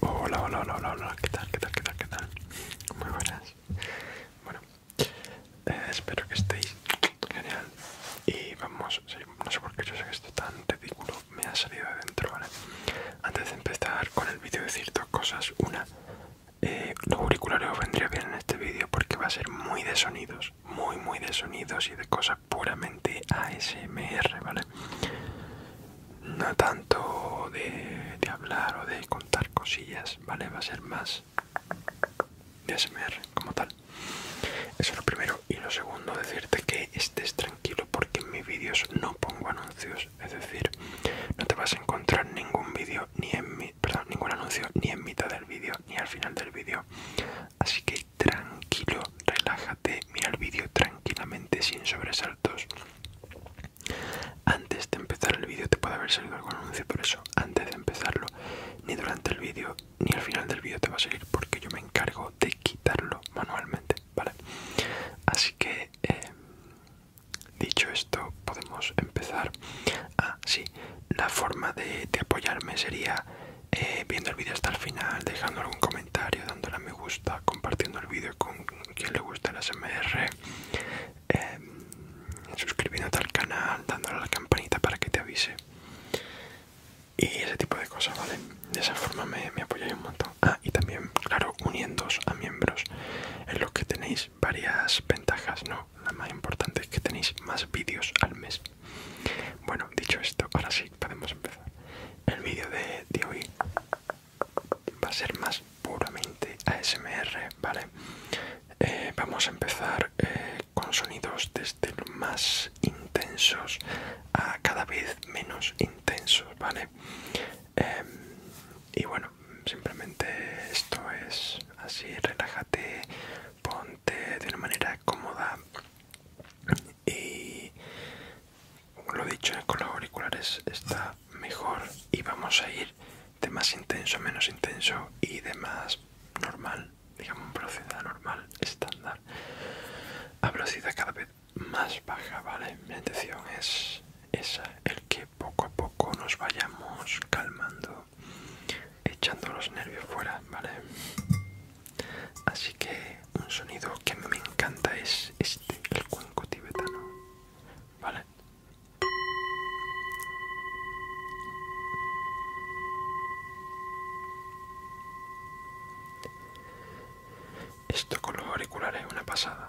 Hola, hola, hola, hola, hola, ¿qué tal? ¿Qué tal? ¿Qué tal? ¿Qué tal? Muy buenas. Bueno, eh, espero que estéis genial. Y vamos, no sé por qué yo sé que esto es tan ridículo, me ha salido de dentro, ¿vale? Antes de empezar con el vídeo decir dos cosas. Una, eh, los auriculares vendría bien en este vídeo porque va a ser muy de sonidos, muy, muy de sonidos y de cosas puramente ASMR, ¿vale? no tanto de, hablar o de contar cosillas, ¿vale? Va a ser más de ASMR como tal. Eso es lo primero. Y lo segundo, decirte que estés tranquilo porque en mis vídeos no pongo anuncios. Es decir, no te vas a encontrar ningún vídeo, ni en mi, perdón, ningún anuncio, ni en mitad del vídeo, ni al final del vídeo. Así que tranquilo, relájate mira el vídeo tranquilamente sin sobresaltos. Antes de empezar el vídeo te puede haber salido algún anuncio, por eso antes de empezarlo, ni durante el vídeo ni al final del vídeo te va a salir porque yo me encargo de quitarlo manualmente, ¿vale? Así que em, dicho esto, podemos empezar. Ah, sí, la forma de, apoyarme sería eh, viendo el vídeo hasta el final, dejando algún comentario, dándole a me gusta, compartiendo el vídeo con quien le gusta el MR, em, suscribiéndote al canal, dándole a la campanita para que te avise y ese tipo de cosas, ¿vale? De esa forma me, apoyáis un montón. Ah, y también, claro, uniéndoos a miembros en los que tenéis varias ventajas, ¿no? La más importante es que tenéis más vídeos al mes. Bueno, dicho esto, ahora sí podemos empezar el vídeo de, de hoy va a ser más puramente ASMR, ¿vale? Eh, vamos a empezar eh, con sonidos desde los más intensos a cada vez menos intensos, ¿vale? Em, y bueno, simplemente esto es así, relájate, ponte de una manera cómoda y lo dicho ¿eh? con los auriculares está mejor y vamos a ir de más intenso a menos intenso y de más normal digamos velocidad normal estándar a velocidad cada vez más baja vale mi intención es esa el que poco a poco nos vayamos calmando echando los nervios fuera vale así que un sonido que me encanta es este, el cuenco tibetano, ¿vale? Esto con los auriculares es una pasada.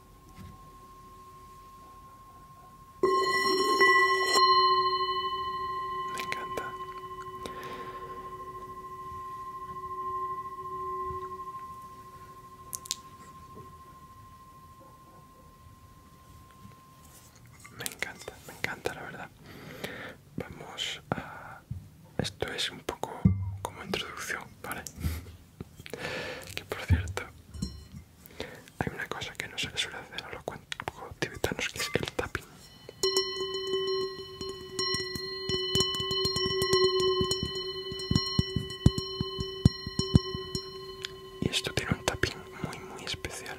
Me encanta. Me encanta, me encanta la verdad. Vamos a... Esto es un poco como introducción, ¿vale? que por cierto, hay una cosa que no se le suele hacer a los tibetanos que es el tapping. Y esto tiene un tapping muy muy especial.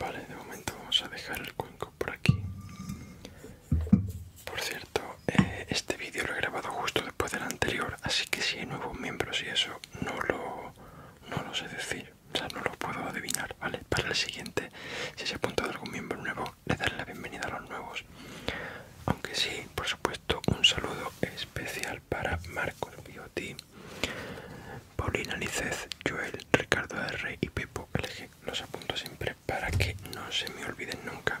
Vale, de momento vamos a dejar el cuenco por aquí. Por cierto, eh, este vídeo lo he grabado justo después del anterior, así que si hay nuevos miembros y eso, no lo no lo sé decir, o sea, no lo puedo adivinar, ¿vale? Para el siguiente, si se apunta de algún miembro nuevo, le daré la bienvenida a los nuevos. Aunque sí, por supuesto, un saludo especial para Marcos Bioti, Paulina Licez, Joel, Ricardo R y Pepo LG. Los apunto siempre para que no se me olviden nunca.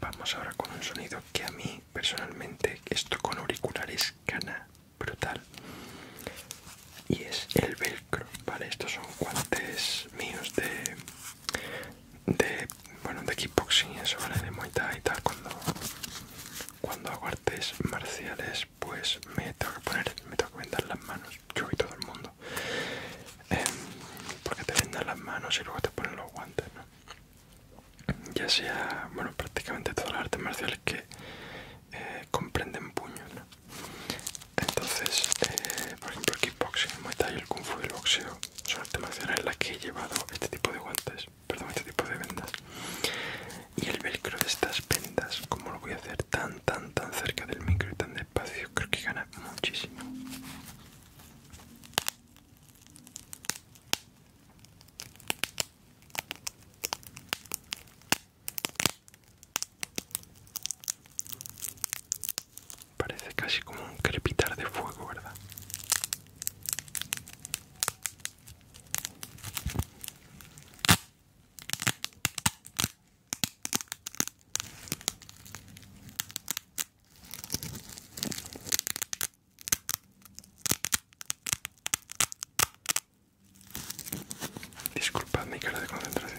Vamos ahora con un sonido que a mí personalmente, esto con auriculares, gana brutal y es el velcro vale estos son guantes míos de de bueno de kickboxing eso vale de muay y tal cuando cuando hago artes marciales pues me tengo que poner me tengo que vendar las manos yo y todo el mundo em, porque te vendan las manos y luego te ponen los guantes ya sea, bueno, prácticamente todas las artes marciales que eh, comprenden puños, Entonces, eh, por ejemplo, el kickboxing, el muay el kung fu y el boxeo son artes marciales en las que he llevado este tipo de guantes, perdón, este tipo de vendas. Y el velcro de estas vendas, como lo voy a hacer tan, tan, tan cerca del micro y tan despacio, creo que gana muchísimo. Parece casi como un crepitar de fuego, ¿verdad? Disculpad mi cara de concentración.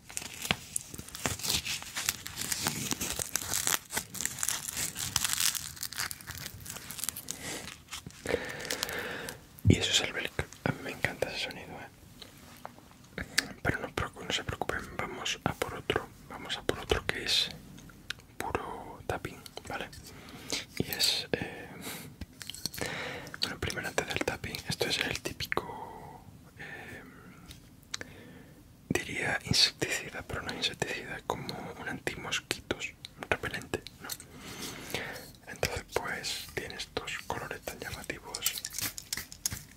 Y eso es el Belk. A me encanta ese sonido, ¿eh? Pero no, se preocupen, vamos a por otro. Vamos a por otro que es puro tapping, ¿vale? Y es... Eh, bueno, primero antes del tapping, esto es el típico... Eh, diría insecticida, pero no insecticida, es como un antimosquitos, repelente, ¿no? Entonces pues tiene estos colores tan llamativos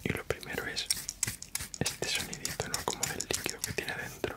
y lo primero es este sonidito, ¿no? Como del líquido que tiene dentro.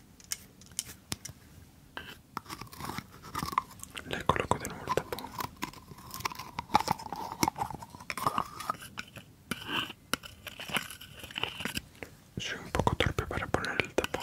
Le coloco de nuevo el tapón. Soy un poco torpe para poner el tapón.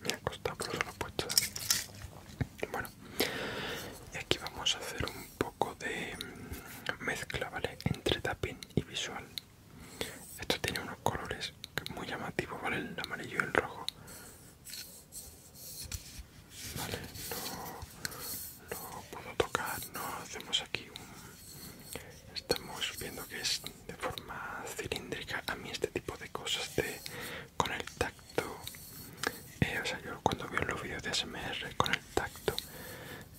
Me ha costado lo he puesto bueno y aquí vamos a hacer un poco de mm, mezcla vale entre tapping y visual esto tiene unos colores muy llamativos vale el amarillo y el rojo Vale, no lo puedo tocar, no hacemos aquí un... Estamos viendo que es de forma cilíndrica. A mí este tipo de cosas de con el tacto... Eh, o sea, yo cuando veo los vídeos de ASMR con el tacto,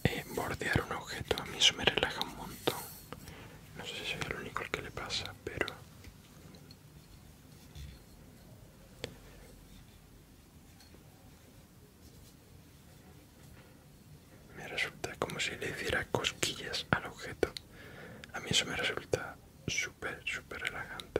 eh, bordear un objeto, a mí eso me relaja un montón. No sé si soy el único al que le pasa, pero me resulta como si le hiciera cosquillas al objeto. A mí eso me resulta súper, súper relajante.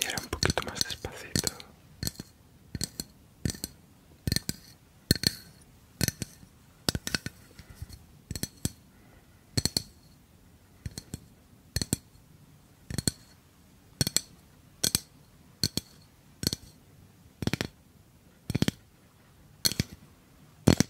Y ahora un poquito más despacito.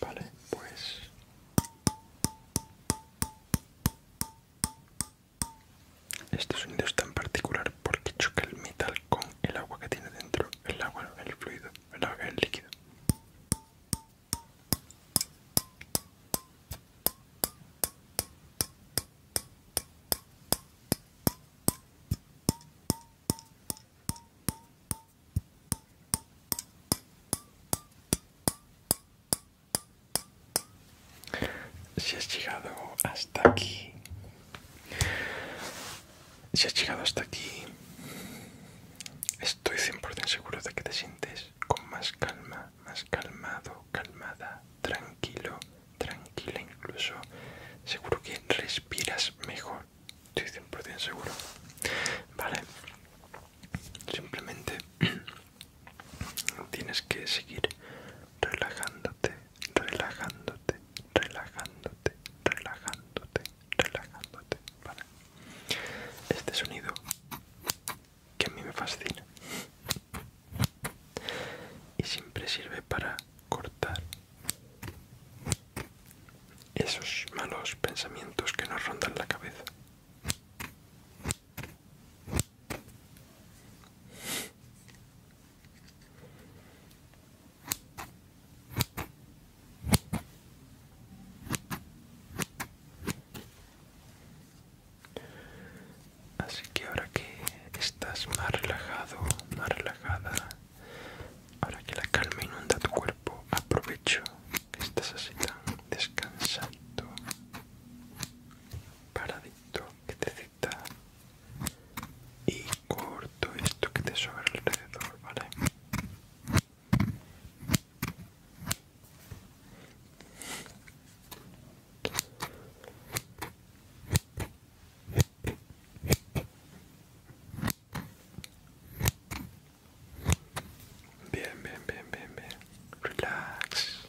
Vale, pues este sonido es tan particular porque choca el metal con el agua que tiene dentro, el agua, el fluido, el, agua, el líquido. Si has llegado hasta aquí, si has llegado hasta aquí, Estoy 100% seguro de que te sientes con más calma, más calmado, calmada, tranquilo, tranquila incluso. Seguro que respiras mejor. Estoy 100% seguro. Vale. Simplemente tienes que seguir relajándote, relajándote, relajándote, relajándote, relajándote, para Este sonido que a mí me fascina y siempre sirve para cortar esos malos pensamientos que nos rondan la cabeza. Así que ahora que estás más relajado, más relajada, ahora que la calma inunda tu cuerpo, aprovecho que estás así tan descansando, paradito, que te cita y corto esto que te sobra alrededor, ¿vale? Bien, bien, bien, bien, bien. Relax.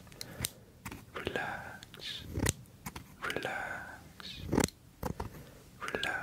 Relax. Relax. Relax.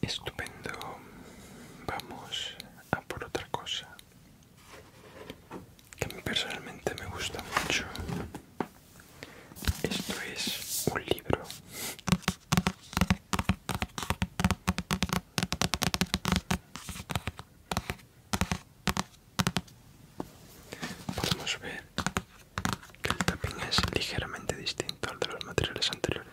Estupendo. Vamos a por otra cosa que personalmente me gusta mucho. Esto es un libro. Podemos ver que el tapping es ligeramente distinto al de los materiales anteriores.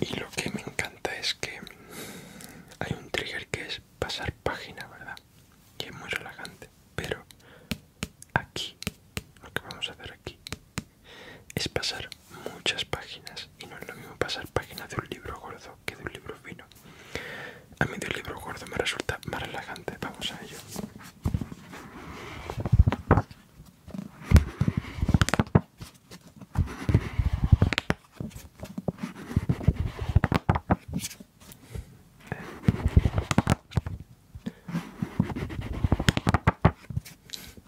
Y lo que me encanta es que hay un trigger que es pasar página, ¿verdad? Y es muy relajante. Pero aquí, lo que vamos a hacer aquí es pasar muchas páginas y no es lo mismo pasar páginas de un libro gordo que de un libro fino. A mí del libro gordo me resulta más relajante, vamos a ello.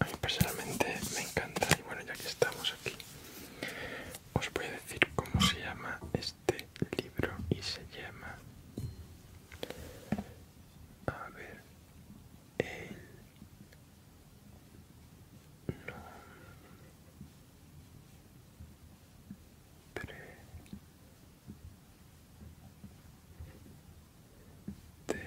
A mí personalmente me encanta y bueno, ya que estamos aquí, os voy a decir cómo se llama este libro y se llama... A ver... El... nombre de T.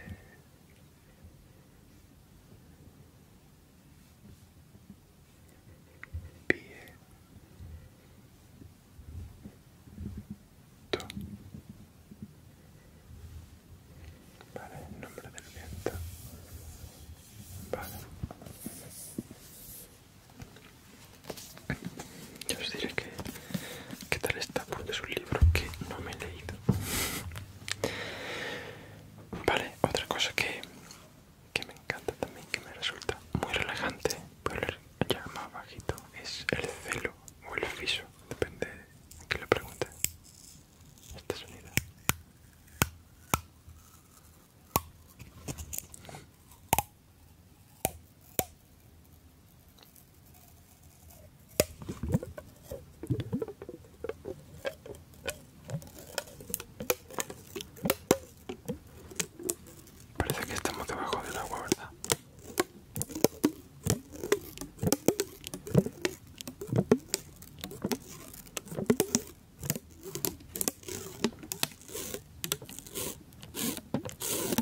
vale el nombre del viento vale yo os diré que, tal está porque es un libro que no me he leído. Vale, otra cosa que, me encanta también, que me resulta muy relajante, leer ya más bajito, es el celo o el fiso, depende de que le pregunte. Esta sonida Parece que estamos debajo del agua, ¿verdad?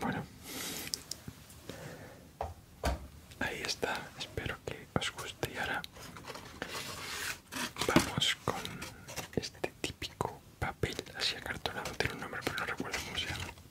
Bueno, ahí está. Espero que os guste y ahora vamos con este típico papel así acartonado. Tiene un nombre pero no recuerdo cómo se llama.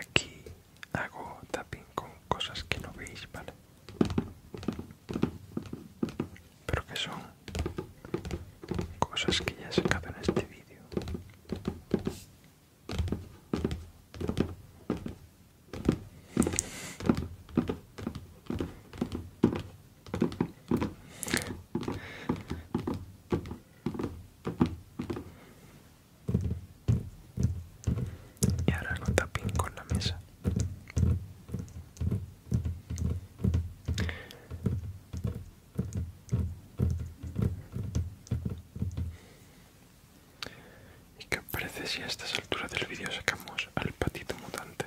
Aquí hago tapping con cosas que no veis, ¿vale? Pero que son cosas que ya he sacado en este vídeo y ahora lo tapín con la mesa ¿Y qué parece si a estas alturas del vídeo sacamos al patito mutante?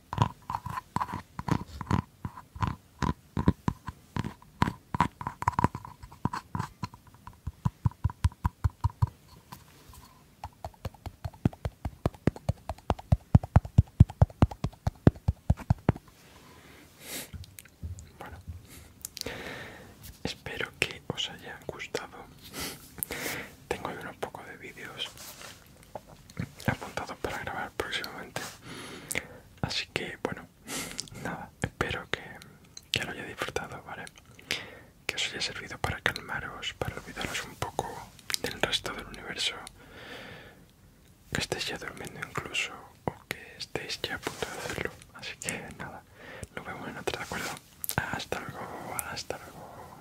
Bueno, espero que os haya gustado. Tengo ahí unos pocos de vídeos apuntado para grabar próximamente así que bueno nada espero que, que lo haya disfrutado vale que os haya servido para calmaros para olvidaros un poco del resto del universo que estéis ya durmiendo incluso o que estéis ya a punto de hacerlo así que nada nos vemos en otra de acuerdo hasta luego hasta luego